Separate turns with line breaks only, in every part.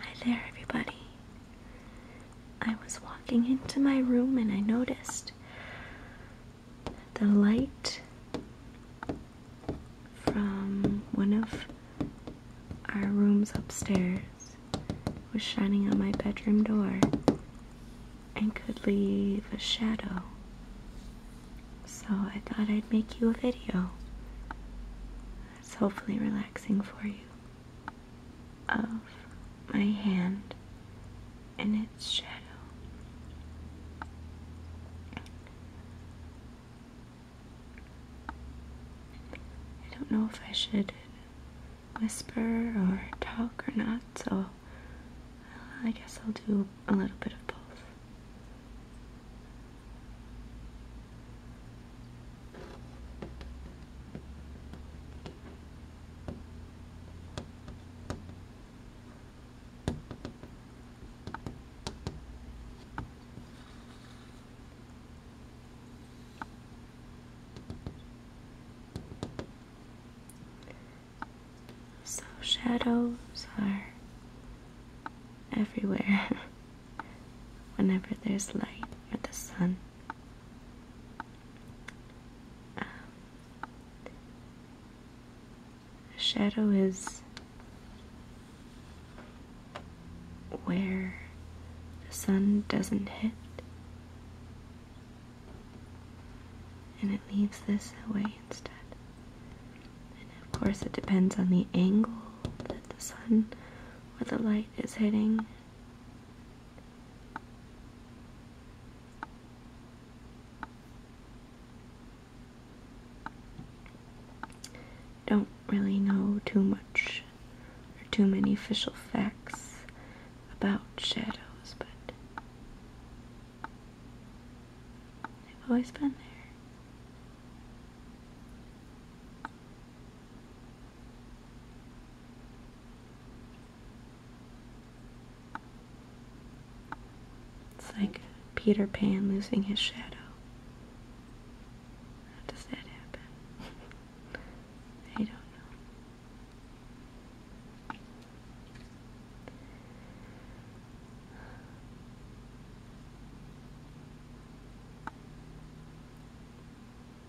Hi there, everybody. I was walking into my room and I noticed the light from one of our rooms upstairs was shining on my bedroom door and could leave a shadow so I thought I'd make you a video. That's hopefully relaxing for you. Of my hand and its shadow. I don't know if I should whisper or talk or not, so I guess I'll do a little bit of both. So shadows are everywhere whenever there's light or the sun. Um, a shadow is where the sun doesn't hit and it leaves this away instead. And of course, it depends on the angle that the sun or the light is hitting. Don't really know too much or too many official facts about shadows, but They've always been there. It's like Peter Pan losing his shadow. How does that happen? I don't know.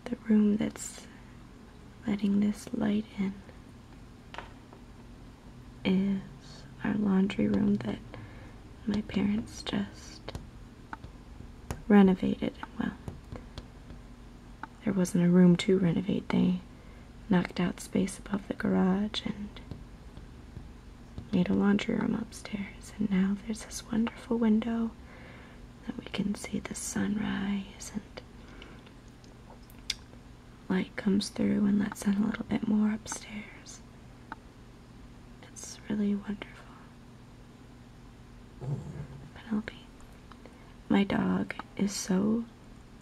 The room that's letting this light in is our laundry room that my parents just renovated. Well, there wasn't a room to renovate. They knocked out space above the garage and made a laundry room upstairs. And now there's this wonderful window that we can see the sunrise and light comes through and lets in a little bit more upstairs. It's really wonderful. Penelope. My dog is so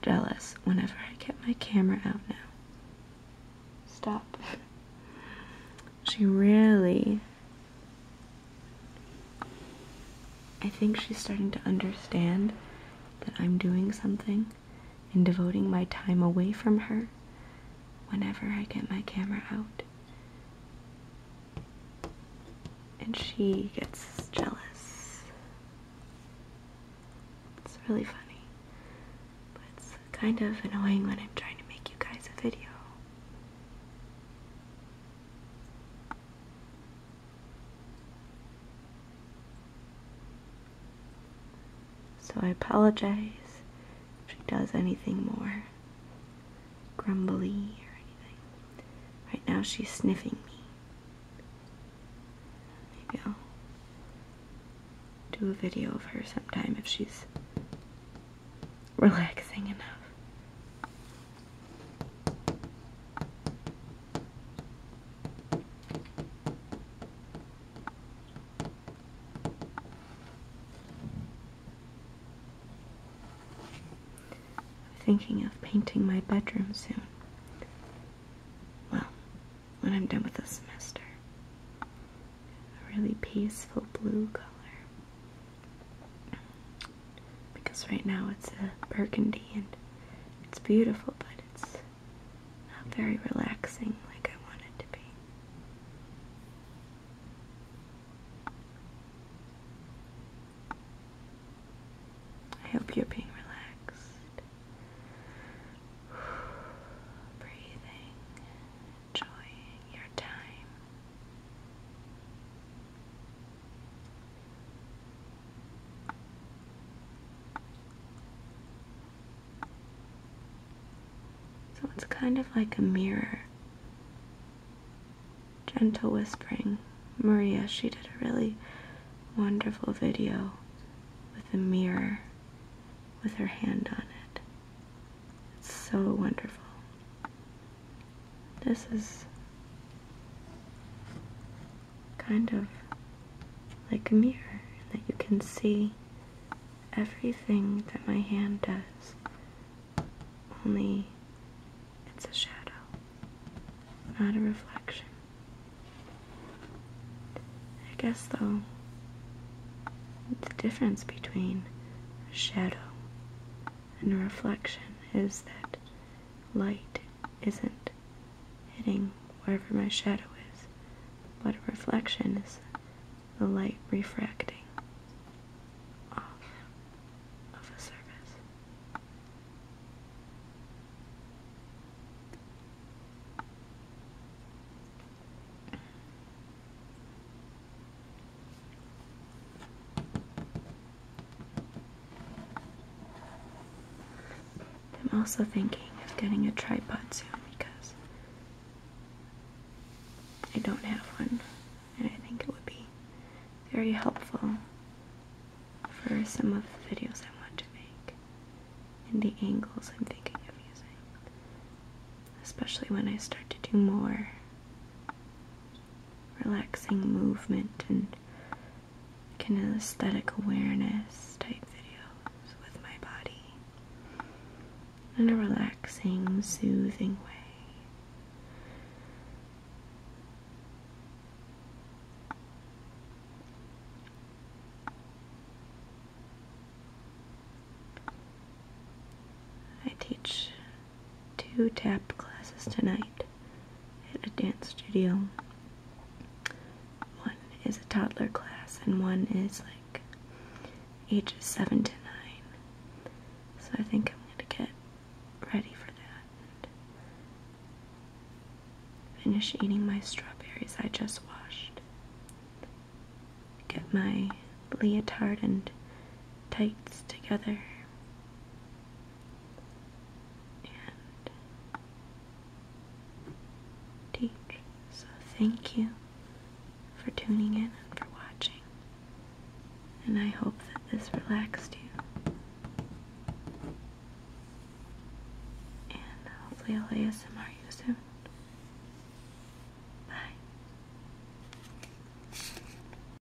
jealous whenever I get my camera out now. Stop. She really. I think she's starting to understand that I'm doing something and devoting my time away from her whenever I get my camera out and she gets jealous. It's really funny, but it's kind of annoying when I'm trying to make you guys a video. So I apologize if she does anything more grumbly or anything. Right now she's sniffing me. Maybe I'll do a video of her sometime if she's relaxing enough. I'm thinking of painting my bedroom soon. Well, when I'm done with the semester. A really peaceful blue color. Because right now it's a burgundy and it's beautiful, but it's not very relaxing like I want it to be. I hope you're being relaxed, breathing, enjoying your time. So it's kind of like a mirror. Gentle whispering. Maria, she did a really wonderful video with a mirror with her hand on it. It's so wonderful. This is kind of like a mirror that you can see everything that my hand does, only it's a shadow, not a reflection. I guess, though, the difference between a shadow and a reflection is that light isn't hitting wherever my shadow is, What a reflection is the light refracting off of a surface. I'm also thinking of getting a tripod soon because I don't have one, and I think it would be very helpful for some of the videos I want to make and the angles I'm thinking of using, especially when I start to do more relaxing movement and kind awareness type videos with my body in a relaxing, soothing way. I teach two tap classes tonight at a dance studio. One is a toddler class, and one is like ages 7 to 9. So I think I'm going to get ready for that finish eating my strawberries I just washed. Get my leotard and tights together and teach. So, thank you for tuning in and for watching. And I hope that this relaxed you. And hopefully, I'll ASMR you soon. Bye.